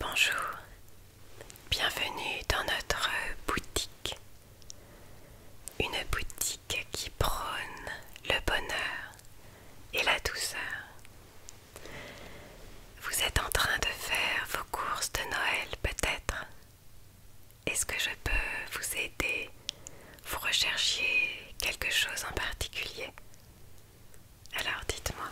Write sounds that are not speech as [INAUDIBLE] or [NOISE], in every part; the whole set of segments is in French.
Bonjour, bienvenue dans notre boutique. Une boutique qui prône le bonheur et la douceur. Vous êtes en train de faire vos courses de Noël peut-être Est-ce que je peux vous aider Vous recherchiez quelque chose en particulier alors dites-moi.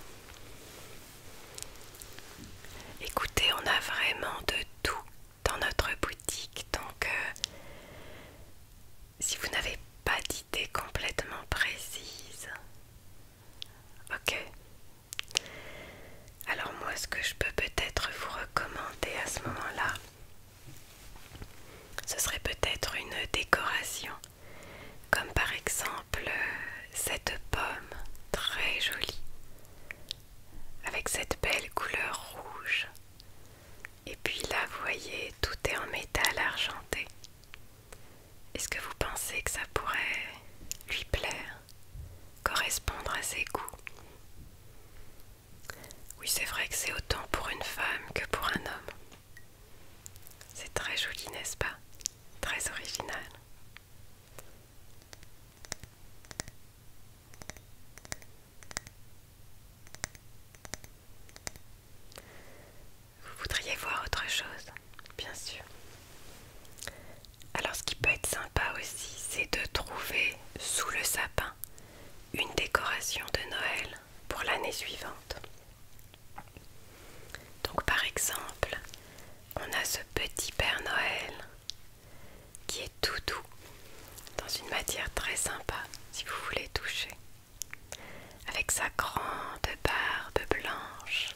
Écoutez, on a vraiment de tout dans notre boutique, donc euh, si vous n'avez pas d'idée complètement précise, ok. Alors moi, ce que je peux peut-être vous recommander à ce moment-là, ce serait peut-être une décoration comme par exemple euh, cette pomme très jolie avec cette belle couleur rouge. Et puis là, vous voyez, tout est en métal argenté. Est-ce que vous pensez que ça pourrait lui plaire, correspondre à ses goûts Oui, c'est vrai que c'est autant pour une femme que pour un homme. C'est très joli, n'est-ce pas Très original. Vous voudriez voir autre chose, bien sûr. Alors ce qui peut être sympa aussi, c'est de trouver sous le sapin une décoration de Noël pour l'année suivante. Donc par exemple, on a ce petit Père Noël qui est tout doux dans une matière très sympa si vous voulez toucher avec sa grande barbe blanche.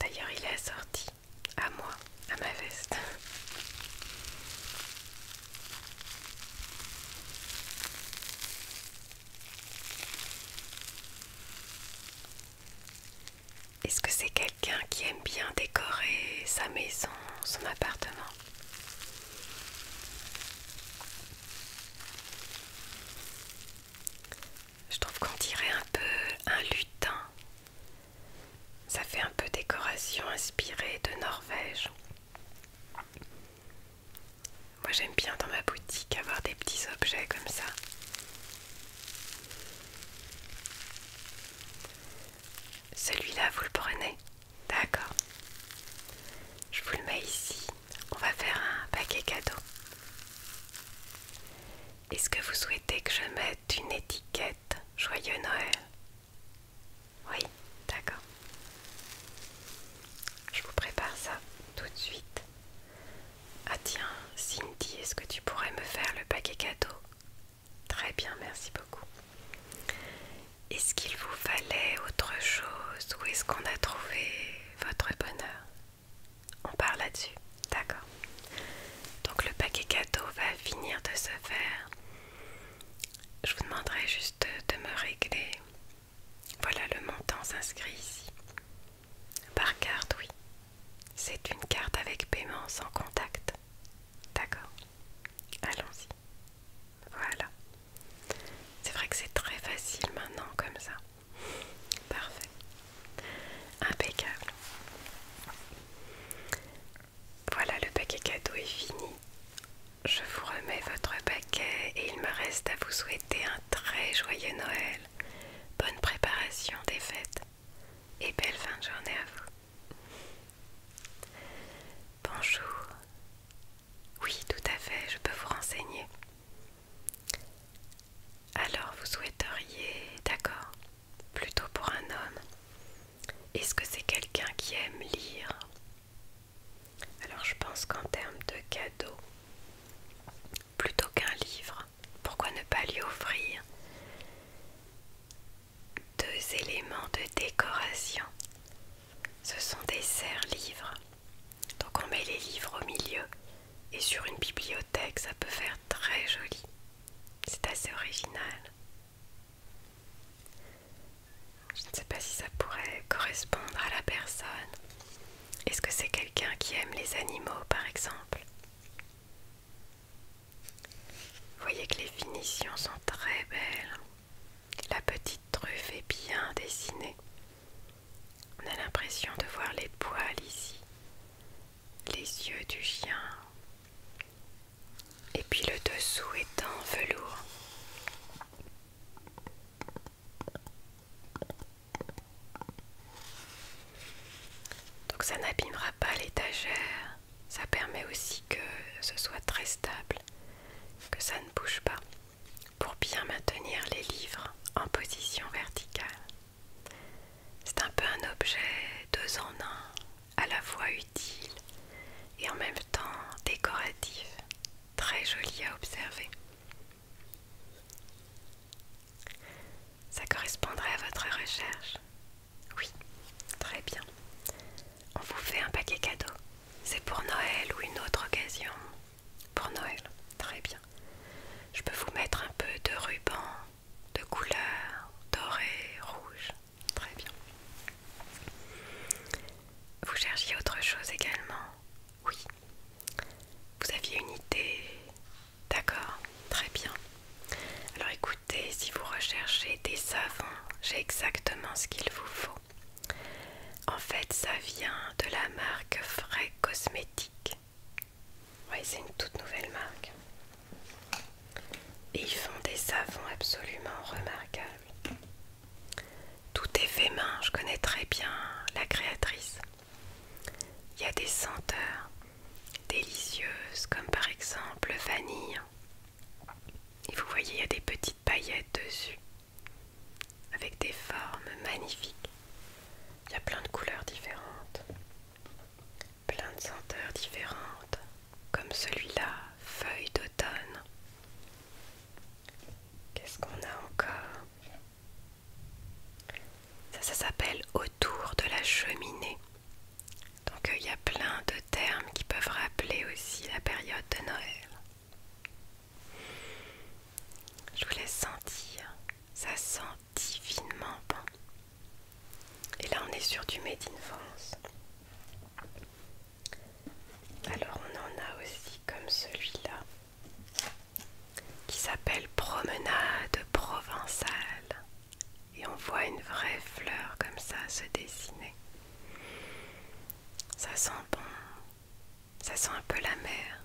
D'ailleurs, il est assorti à moi, à ma veste. Est-ce que c'est quelqu'un qui aime bien décorer sa maison, son appartement je trouve qu'on dirait un peu un lutin. Ça fait un peu décoration inspirée de Norvège. Moi j'aime bien dans ma boutique avoir des petits objets comme ça. Celui-là, vous le prenez D'accord. Je vous le mets ici. On va faire un paquet cadeau. Est-ce que vous souhaitez que je mette une étiquette Joyeux Noël Oui, d'accord. Je vous prépare ça tout de suite. Ah tiens, Cindy, est-ce que tu pourrais me faire le paquet cadeau Très bien, merci beaucoup. Est-ce qu'il vous fallait autre chose ou est-ce qu'on a trouvé votre bonheur on part là-dessus, d'accord. Donc le paquet cadeau va finir de se faire. Je vous demanderai juste de me régler. Voilà, le montant s'inscrit ici. Par carte, oui. C'est une carte avec paiement sans contact. D'accord. Allons-y. Voilà. C'est vrai que c'est très facile maintenant comme ça. Parfait. Impeccable. Voilà, le paquet cadeau est fini. Je vous remets votre paquet et il me reste à vous souhaiter un très joyeux Noël. Bonne préparation des fêtes et belle fin de journée à vous. Bonjour. Oui, tout à fait, je peux vous renseigner. Alors vous souhaiteriez, d'accord, plutôt pour un homme. Est-ce que c'est quelqu'un qui aime lire Alors je pense qu'en termes de cadeau, plutôt qu'un livre, pourquoi ne pas lui offrir deux éléments de décoration Ce sont des serres-livres. Donc on met les livres au milieu et sur une bibliothèque, ça peut faire très joli. C'est assez original. Je ne sais pas si ça pourrait correspondre à la personne. Est-ce que c'est quelqu'un qui aime les animaux, par exemple voyez que les finitions sont très belles. La petite truffe est bien dessinée. On a l'impression de voir les poils ici, les yeux du chien, et puis le dessous est en velours. Donc ça n'abîmera pas l'étagère, ça permet aussi que ce soit très stable, que ça ne bouge pas, pour bien maintenir les livres en position verticale. C'est un peu un objet deux en un, à la fois utile et en même temps décoratif, très joli à observer. Ça correspondrait à votre recherche Oui, très bien. On vous fait un paquet cadeau. C'est pour Noël ou une autre occasion, pour Noël, très bien. Je peux vous mettre un peu de ruban de couleur doré, rouge. Très bien. Vous cherchiez autre chose également Oui. Vous aviez une idée D'accord, très bien. Alors écoutez, si vous recherchez des savons, j'ai exactement ce qu'il vous faut. En fait, ça vient de la marque Frais Cosmétiques. Oui, c'est une toute nouvelle marque. Et ils font des savons absolument remarquables. Tout est fait main, je connais très bien la créatrice. Il y a des senteurs délicieuses comme par exemple vanille. Et vous voyez, il y a des petites paillettes dessus avec des formes magnifiques. Il y a plein de couleurs différentes, plein de senteurs différentes, comme celui-là, feuille d'automne. Qu'est-ce qu'on a encore Ça, ça s'appelle autour de la cheminée. Donc euh, il y a plein de termes qui peuvent rappeler aussi la période de Noël. Je vous laisse sentir, ça sent divinement bon. Et là, on est sur du Made in France. Alors, on en a aussi comme celui-là qui s'appelle Promenade provençale. Et on voit une vraie fleur comme ça se dessiner. Ça sent bon, ça sent un peu la mer.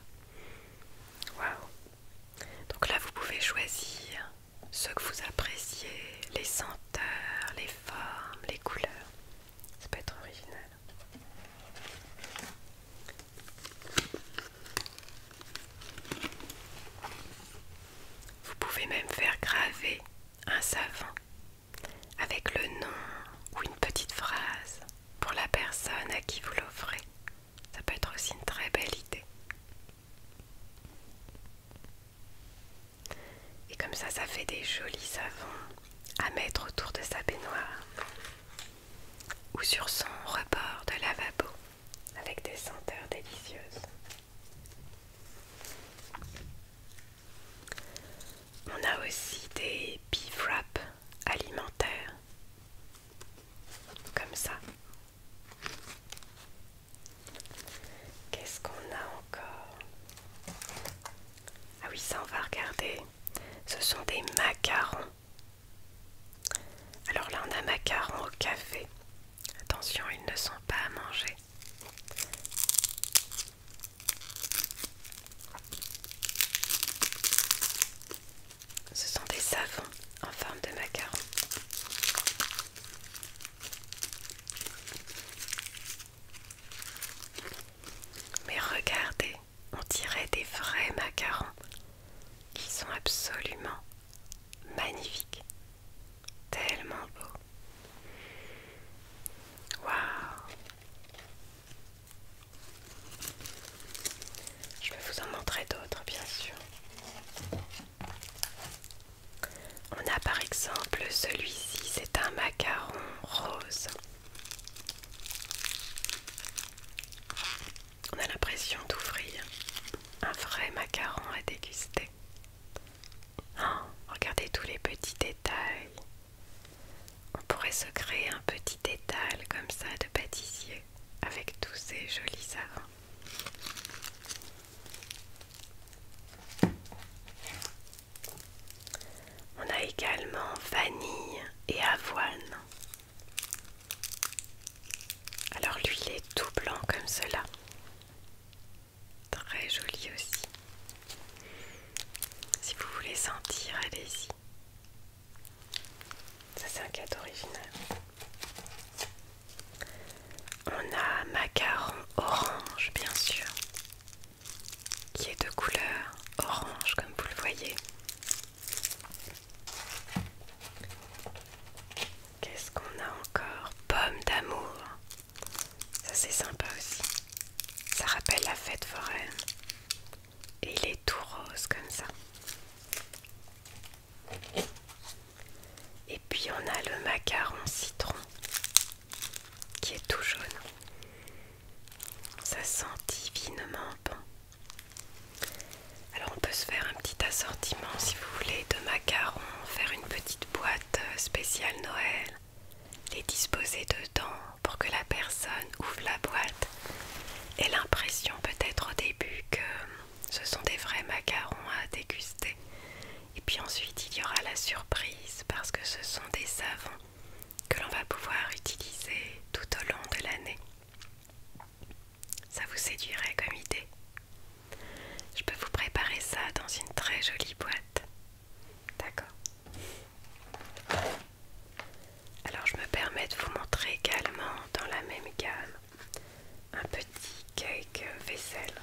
Waouh! Donc là, vous pouvez choisir ce que vous appréciez, les senteurs, les formes, les couleurs. Ça peut être original. Vous pouvez même faire graver un savon avec le nom ou une petite phrase pour la personne à qui vous l'offrez. Ça peut être aussi une très belle idée. Et comme ça, ça fait des jolis savons à mettre autour de sa baignoire ou sur son rebord de lavabo avec des senteurs délicieuses. On a aussi des beef wraps alimentaires comme ça. Qu'est-ce qu'on a encore Ah oui, ça on va regarder. Ce sont des macarons. Alors là, on a macarons au café. Attention, ils ne sont pas à manger. Ce sont des savons en forme de macarons, Mais regardez, on tirait des vrais macarons qui sont absolument magnifiques. Tellement beaux. Waouh je vais vous en montrer d'autres, bien sûr. On a par exemple celui-ci, c'est un macaron rose. On a l'impression d'ouvrir un vrai macaron à déguster. Oh, regardez tous les petits détails. On pourrait se créer un petit étal comme ça de pâtissier avec tous ces jolis savons. On a également vanille et avoine. Alors lui est tout blanc comme cela. Très joli aussi. Si vous voulez sentir, allez-y. Ça c'est un cadeau original. On a macaron orange bien sûr, qui est de couleur orange comme vous le voyez. Qu'est-ce qu'on a encore Pomme d'amour. Ça c'est sympa aussi. Ça rappelle la fête foraine. Et il est tout rose comme ça. Et puis on a le macaron citron qui est tout jaune. Ça sent divinement bon. Alors on peut se faire un petit assortiment si vous voulez de macarons, faire une petite boîte euh, spéciale Noël, les disposer dedans pour que la personne ouvre la boîte et l'impression peut-être au début que ce sont des vrais macarons à déguster. Et puis ensuite il y aura la surprise parce que ce sont des savons que l'on va pouvoir utiliser tout au long de l'année. Ça vous séduirait comme idée. Je peux vous préparer ça dans une très jolie boîte. D'accord alors je me permets de vous montrer également dans la même gamme un petit cake vaisselle.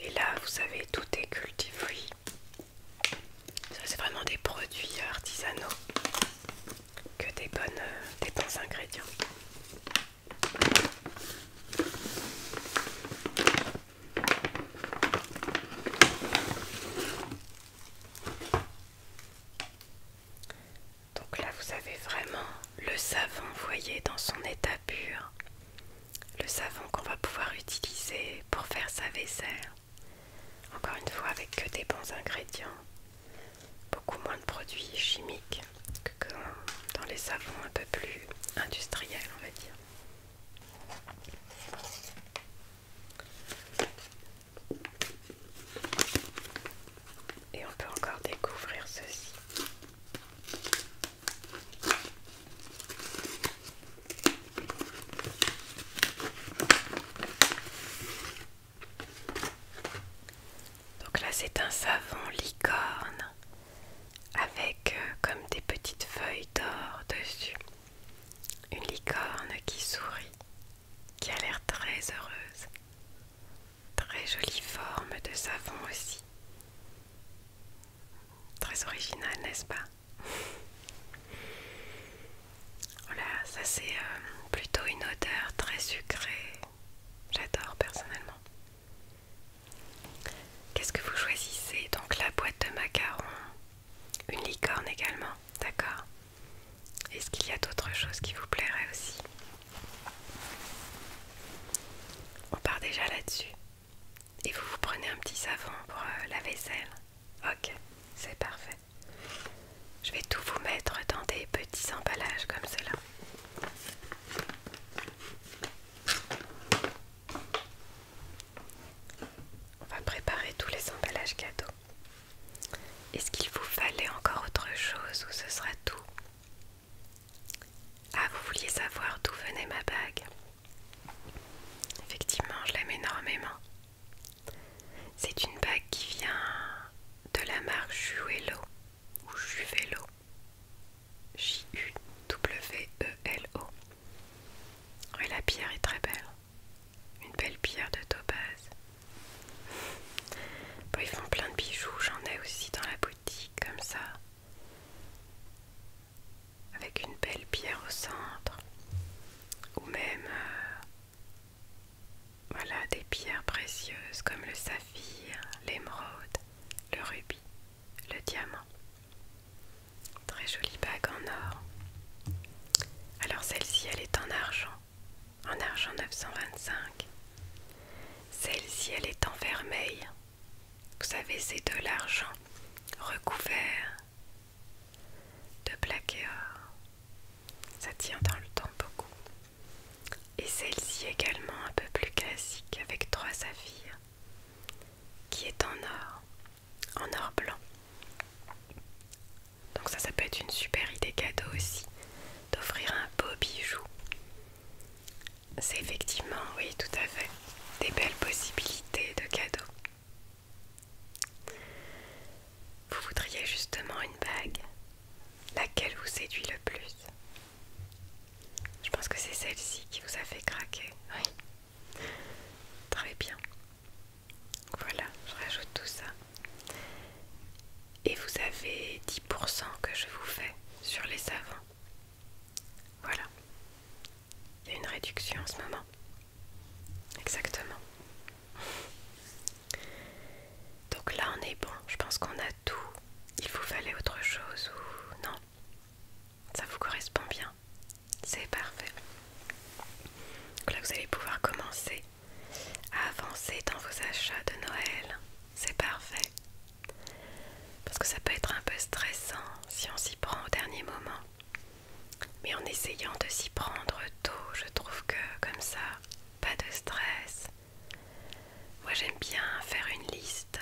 Et là, vous savez, tout est cultivé. Ça, c'est vraiment des produits artisanaux que des bonnes des bons ingrédients. Donc là vous avez vraiment le savon, vous voyez, dans son état pur. Le savon qu'on va pouvoir utiliser pour faire sa vaisselle. Encore une fois avec que des bons ingrédients beaucoup moins de produits chimiques que dans les savons un peu plus industriels, on va dire. Et on peut encore découvrir ceci. Donc là c'est un savon licorne avec euh, comme des petites feuilles d'or dessus. Une licorne qui sourit, qui a l'air très heureuse. Très jolie forme de savon aussi. Très original, n'est-ce pas [LAUGHS] Voilà, ça c'est euh, plutôt une odeur très sucrée, J'adore personnellement. Qu'est-ce que vous choisissez Donc la boîte de macarons, une licorne également, d'accord Est-ce qu'il y a d'autres choses qui vous plairaient aussi On part déjà là-dessus. Et vous vous prenez un petit savon pour euh, la vaisselle Ok, c'est parfait. Je vais tout vous mettre dans des petits emballages comme cela. On va préparer tous les emballages cadeaux. Est-ce qu'il vous fallait encore autre chose ou ce sera tout Ah, vous vouliez savoir d'où venait ma bague Effectivement, je l'aime énormément. C'est une bague qui vient de la marque Juelo ou Juvelo. J-U-W-E-L-O. Et la pierre est très belle. Une belle pierre de topaz. ils font plein de bijoux. J'en ai aussi dans la boutique, comme ça. Avec une belle pierre au centre. Ou même euh, voilà des pierres précieuses comme le saphir, l'émeraude, le rubis, le diamant. Très jolie bague en or. Alors celle-ci, elle est en argent, en argent 925. Celle-ci, elle est en vermeil. Vous savez, c'est de l'argent recouvert de et or. Ça tient dans le temps beaucoup et celle-ci également un peu plus classique avec trois saphirs qui est en or, en or blanc. Donc ça, ça peut être une super idée cadeau aussi, d'offrir un beau bijou. C'est effectivement, oui, tout à fait, des belles possibilités de cadeaux. Vous voudriez justement une bague Laquelle vous séduit le plus Je pense que c'est celle-ci qui vous a fait craquer. Oui. Très bien. Voilà, je rajoute tout ça. Et vous avez 10% que je vous fais sur les savons. Voilà. Il y a une réduction en ce moment. Exactement. Donc là on est bon, je pense qu'on a tout. Il vous fallait autre chose ou non Ça vous correspond bien C'est parfait. là vous allez pouvoir commencer à avancer dans vos achats de Noël. C'est parfait. Parce que ça peut être un peu stressant si on s'y prend au dernier moment. Mais en essayant de s'y prendre tôt, je trouve que comme ça, pas de stress. Moi j'aime bien faire une liste,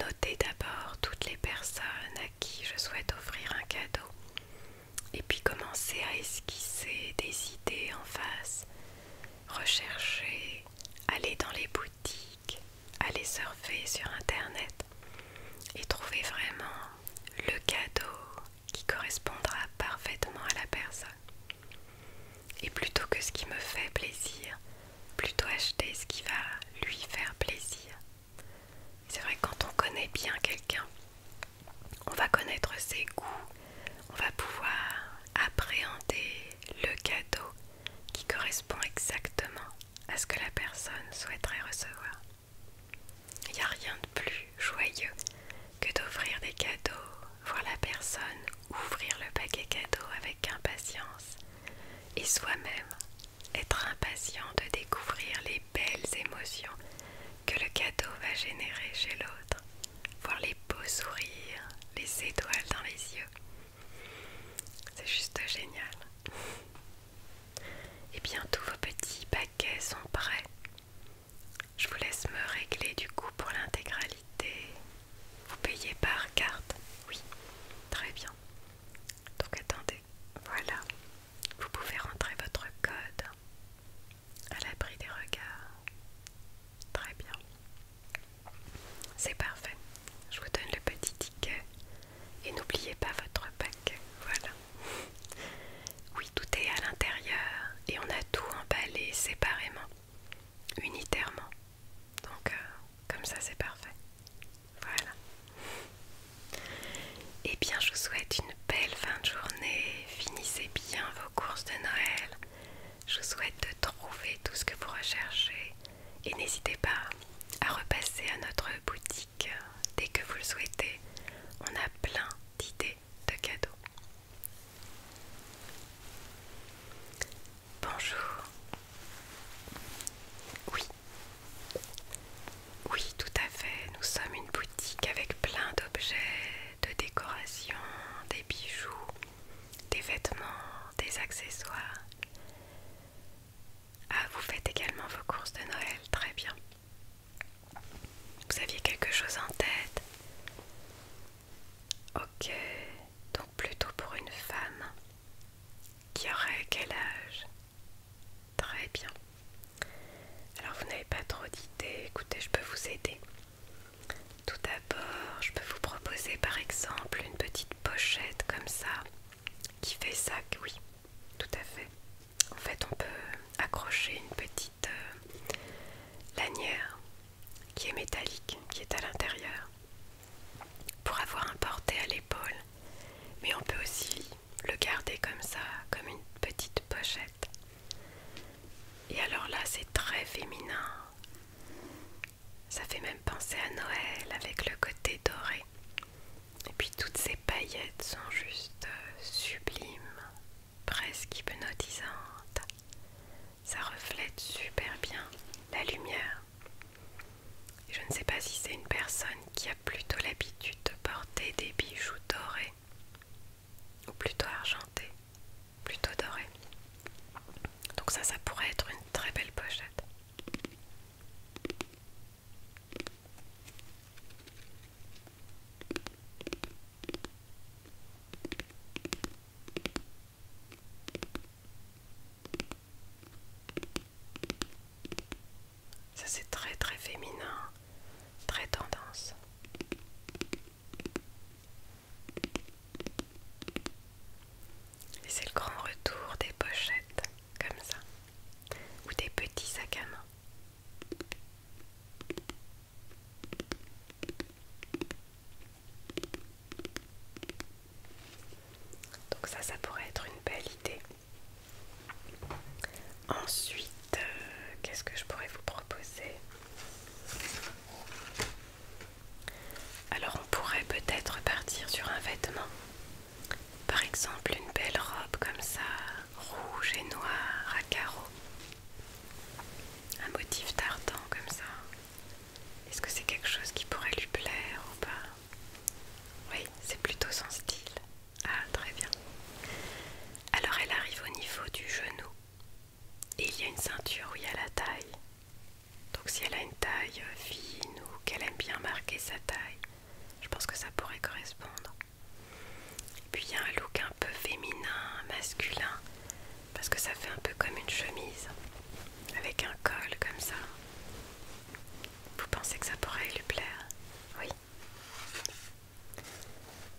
noter d'abord toutes les personnes à qui je souhaite offrir un cadeau et puis commencer à esquisser des idées en face, rechercher, aller dans les boutiques, aller surfer sur internet et trouver vraiment le cadeau qui correspondra parfaitement à la personne. Et plutôt que ce qui me fait plaisir, plutôt acheter ce qui va lui faire plaisir. C'est vrai quand on connaît bien quelqu'un, on va connaître ses goûts, on va pouvoir appréhender le cadeau qui correspond exactement à ce que la personne souhaiterait recevoir. Il n'y a rien de plus joyeux que d'offrir des cadeaux, voir la personne ouvrir le paquet cadeau avec impatience et soi-même être impatient de découvrir les belles émotions que le cadeau va générer chez l'autre, voir les beaux sourires, les étoiles dans les yeux. C'est juste génial. Et bien tous vos petits paquets sont prêts. Je vous laisse me régler du coup pour l'intégralité. Vous payez par carte Oui, très bien. Donc attendez, voilà. Vous pouvez rentrer votre code à l'abri des regards. Très bien. C'est parfait. Je vous donne le petit ticket et n'oubliez pas votre paquet. Voilà. Oui, tout est à l'intérieur et on a tout emballé séparément, unitairement. Donc, euh, comme ça, c'est parfait. Voilà. Eh bien, je vous souhaite une belle fin de journée. Finissez bien vos courses de Noël. Je vous souhaite de trouver tout ce que vous recherchez. Et n'hésitez pas à repasser à notre boutique euh, dès que vous le souhaitez. On a plein d'idées de cadeaux. Bonjour. Oui. Oui, tout à fait. Nous sommes une boutique avec plein d'objets, de décorations, des bijoux, des vêtements, des accessoires. Ah, vous faites également vos courses de Noël, très bien. Vous aviez quelque chose en tête Ok, donc plutôt pour une femme qui aurait quel âge Très bien. Alors vous n'avez pas trop d'idées, écoutez, je peux vous aider. Tout d'abord, je peux vous proposer par exemple une petite pochette comme ça qui fait ça, oui, tout à fait en fait on peut accrocher une petite euh, lanière qui est métallique, qui est à l'intérieur pour avoir un porté à l'épaule mais on peut aussi le garder comme ça, comme une petite pochette et alors là c'est très féminin ça fait même penser à Noël avec le côté doré et puis toutes ces paillettes sont juste euh, sublimes presque hypnotisante. Ça reflète super bien la lumière. Je ne sais pas si c'est une personne qui a plutôt l'habitude de porter des bijoux dorés, ou plutôt argentés, plutôt dorés. Donc ça, ça pourrait être une très belle pochette. Ça c'est très très féminin, très tendance. Et c'est le grand retour des pochettes comme ça, ou des petits sacs à main. Donc ça, ça pourrait être une belle idée. Ensuite, euh, qu'est-ce que je pourrais vous proposer Alors on pourrait peut-être partir sur un vêtement. Par exemple, une belle robe comme ça, rouge et noir à carreaux. Un motif tartan comme ça. Est-ce que c'est quelque chose qui pourrait lui plaire ou pas Oui, c'est plutôt son style. Ah, très bien. Alors elle arrive au niveau du genou. Et il y a une ceinture où il y a la taille. Donc si elle a une taille fine ou qu'elle aime bien marquer sa taille, je pense que ça pourrait correspondre. Et puis il y a un look un peu féminin, masculin, parce que ça fait un peu comme une chemise, avec un col comme ça. Vous pensez que ça pourrait lui plaire Oui.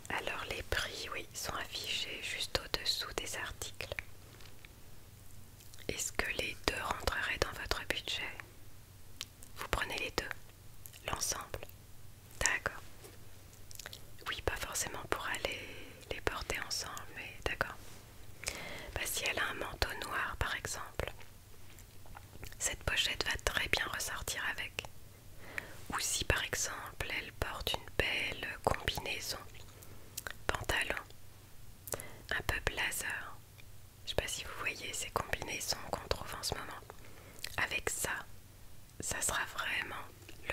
Alors les prix, oui, sont affichés juste au-dessous des articles. Est-ce que les deux rentreraient dans votre budget vous prenez les deux L'ensemble D'accord. Oui, pas forcément pour aller les porter ensemble, mais d'accord. Bah, si elle a un manteau noir, par exemple, cette pochette va très bien ressortir avec. Ou si, par exemple, elle porte une belle combinaison, pantalon, un peu blazer. Je sais pas si vous voyez ces combinaisons qu'on trouve en ce moment. Avec ça, ça sera vraiment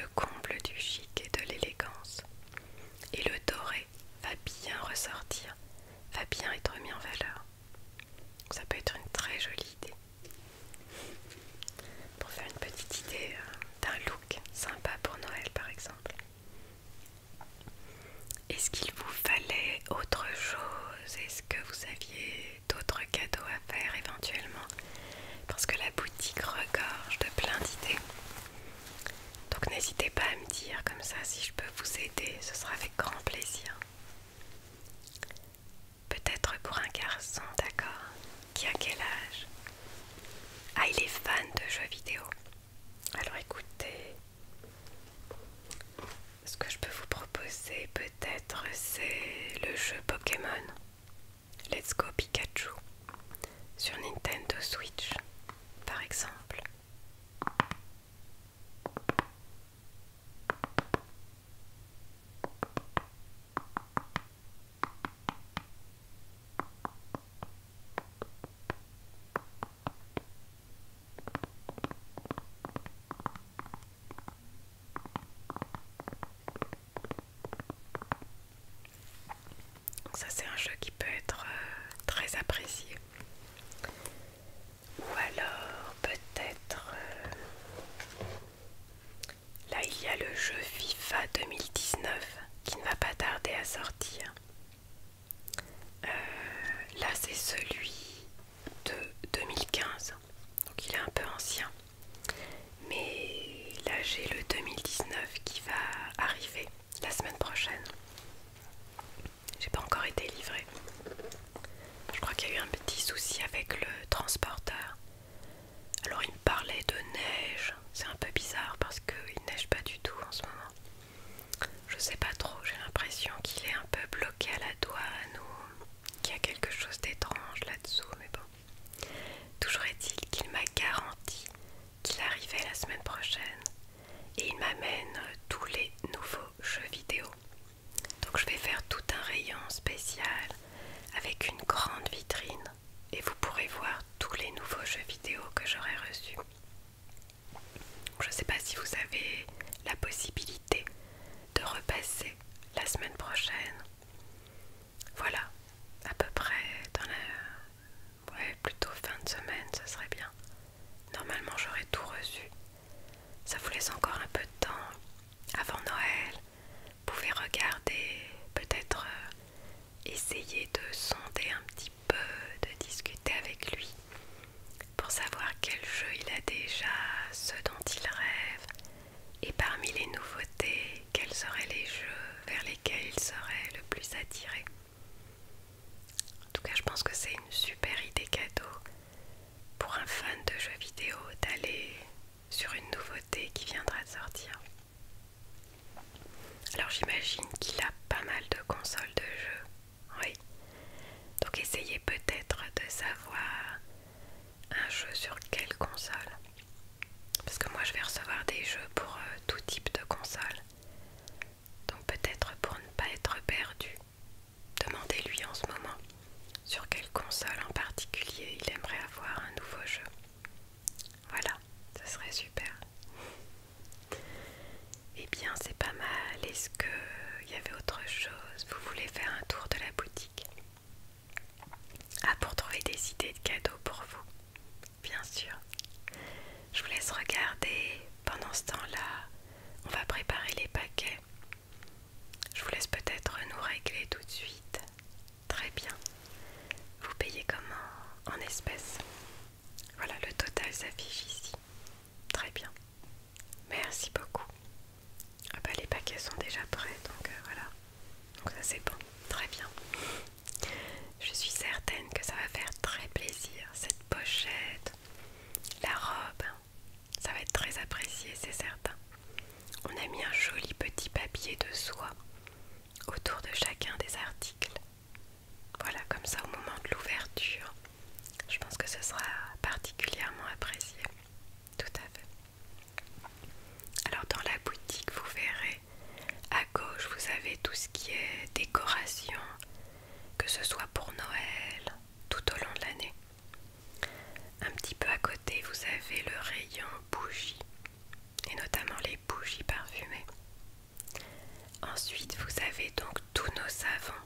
le comble du chic et de l'élégance. Et le doré va bien ressortir, va bien être mis en valeur. Ça peut être une très jolie idée. Pour faire une petite idée euh, d'un look sympa pour Noël par exemple. Est-ce qu'il vous fallait autre chose que vous aviez d'autres cadeaux à faire éventuellement Parce que la boutique regorge de plein d'idées. Donc n'hésitez pas à me dire comme ça si je peux vous aider, ce sera avec grand plaisir. Peut-être pour un garçon, d'accord Qui a quel âge Ah, il est fan de jeux vidéo. Alors écoutez, ce que je peux vous proposer peut-être c'est le jeu Pokémon Let's Go Pikachu sur Nintendo Switch par exemple ça c'est un jeu qui peut être euh, très apprécié. Ou alors peut-être... Euh, là il y a le jeu FIFA 2019 qui ne va pas tarder à sortir. Euh, là c'est celui de 2015, donc il est un peu ancien. Mais là j'ai le 2019 qui va arriver la semaine prochaine. J'ai pas encore été livré. Je crois qu'il y a eu un petit souci avec le transporteur. Alors il me parlait de neige. C'est un peu bizarre parce qu'il neige pas du tout en ce moment. Je sais pas trop, j'ai l'impression qu'il est un peu bloqué à la douane qu'il y a quelque chose d'étrange là-dessous, mais bon. Toujours est-il qu'il m'a garanti qu'il arrivait la semaine prochaine et il m'amène tous les nouveaux jeux vidéo. Donc je vais faire tout un rayon spécial avec une grande vitrine et vous pourrez voir tous les nouveaux jeux vidéo que j'aurai reçus. Je ne sais pas si vous avez la possibilité de repasser la semaine prochaine. Voilà, à peu près dans la... Ouais, plutôt fin de semaine, ce serait bien. Normalement, j'aurais tout reçu. Ça vous laisse encore un peu de temps avant Noël. Vous regarder, peut-être euh, essayer de sonder un petit peu, de discuter avec lui pour savoir quel jeu il a déjà, ce dont il rêve, et parmi les nouveautés, quels seraient les jeux vers lesquels il serait le plus attiré. En tout cas, je pense que c'est une super idée cadeau pour un fan de jeux vidéo d'aller sur une nouveauté qui viendra de sortir. Alors j'imagine qu'il a pas mal de consoles de jeux, oui. Donc essayez peut-être de savoir un jeu sur quelle console Parce que moi je vais recevoir des jeux pour euh, tout type de console. Donc peut-être pour ne pas être perdu, demandez-lui en ce moment sur quelle console en particulier il aimerait avoir un nouveau jeu. Voilà, ce serait super. Eh bien, c'est pas mal, est-ce qu'il y avait autre chose Vous voulez faire un tour de la boutique Ah, pour trouver des idées de cadeaux pour vous Bien sûr. Je vous laisse regarder. Pendant ce temps-là, on va préparer les paquets. Je vous laisse peut-être nous régler tout de suite. Très bien. Vous payez comment En espèces. Voilà, le total s'affiche ici. Très bien. Merci beaucoup. Ah bah les paquets sont déjà prêts, donc euh, voilà. Donc ça c'est bon. Très bien. Je suis certaine que ça va faire très plaisir. Cette pochette, la robe, ça va être très apprécié, c'est certain. On a mis un joli petit papier de soie autour de chacun des articles. Voilà, comme ça au moment de l'ouverture, je pense que ce sera particulièrement apprécié. Tout à fait. Alors dans la boutique, vous verrez, à gauche, vous avez tout ce qui est décoration, que ce soit pour Noël, tout au long de l'année. Un petit peu à côté, vous avez le rayon bougies, et notamment les bougies parfumées. Ensuite, vous avez donc tous nos savons,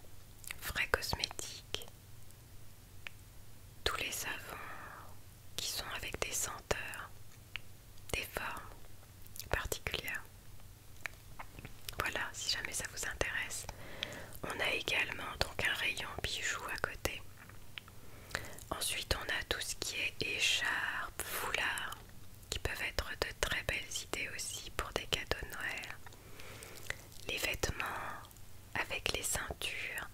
frais cosmétiques, tous les savons qui sont avec des senteurs, des formes particulières. Voilà, si jamais ça vous intéresse. On a également donc un rayon bijoux à côté. Ensuite, on a tout ce qui est écharpe, foulard, qui peuvent être de très belles idées aussi pour des cadeaux de Noël les vêtements avec les ceintures,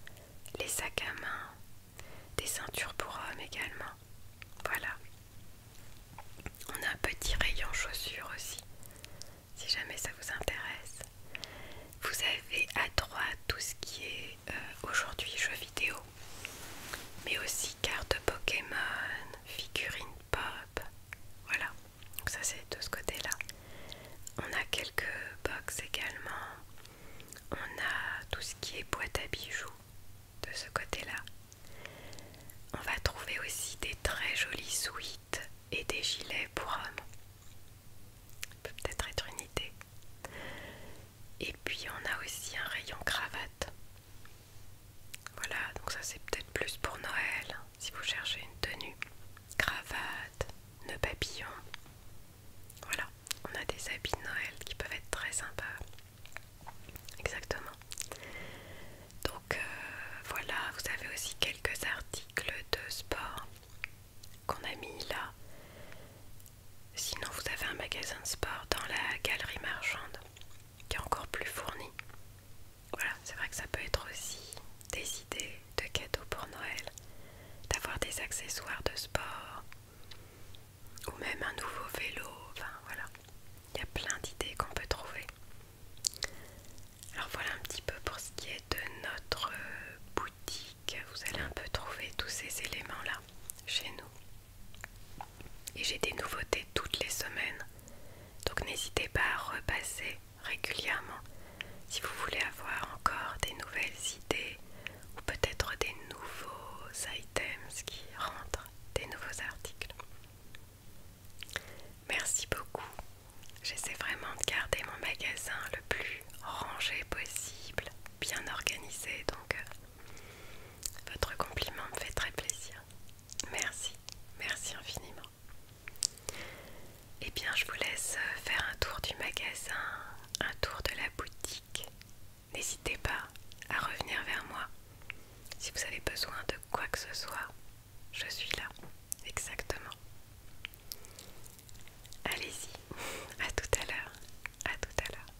les sacs à main, des ceintures pour hommes également. Voilà. On a un petit rayon chaussures aussi, si jamais ça vous intéresse. Vous avez à droite tout ce qui est euh, aujourd'hui jeux vidéo, mais aussi cartes Pokémon, figurines pop. Voilà. Donc ça c'est de ce côté-là. On a quelques box également. On a tout ce qui est boîte à bijoux de ce côté-là. On va trouver aussi des très jolies suites et des gilets pour hommes. peut peut-être être une idée. Et puis on a aussi un rayon cravate. Voilà, donc ça c'est peut-être plus pour Noël si vous cherchez une tenue, cravate, nœud papillon. Voilà, on a des habits de Noël qui peuvent être très sympas. Exactement. Donc euh, voilà, vous avez aussi quelques articles de sport qu'on a mis là. Sinon, vous avez un magasin de sport dans la galerie marchande qui est encore plus fourni. Voilà, c'est vrai que ça peut être aussi des idées de cadeaux pour Noël, d'avoir des accessoires de sport ou même un nouveau vélo. Enfin voilà, il y a plein d'idées qu'on peut trouver. Alors voilà un petit peu pour ce qui est de notre boutique. Vous allez un peu trouver tous ces éléments-là chez nous. Et j'ai des nouveautés toutes les semaines. Donc n'hésitez pas à repasser régulièrement si vous voulez avoir encore des nouvelles idées ou peut-être des nouveaux items qui rentrent, des nouveaux articles. Merci beaucoup. J'essaie vraiment de garder mon magasin le plus rangé possible, bien organisé, donc euh, votre compliment me fait très plaisir. Merci, merci infiniment et Eh bien, je vous laisse euh, faire un tour du magasin, un tour de la boutique. N'hésitez pas à revenir vers moi. Si vous avez besoin de quoi que ce soit, je suis là, exactement. Allez-y, à tout à l'heure, à tout à l'heure.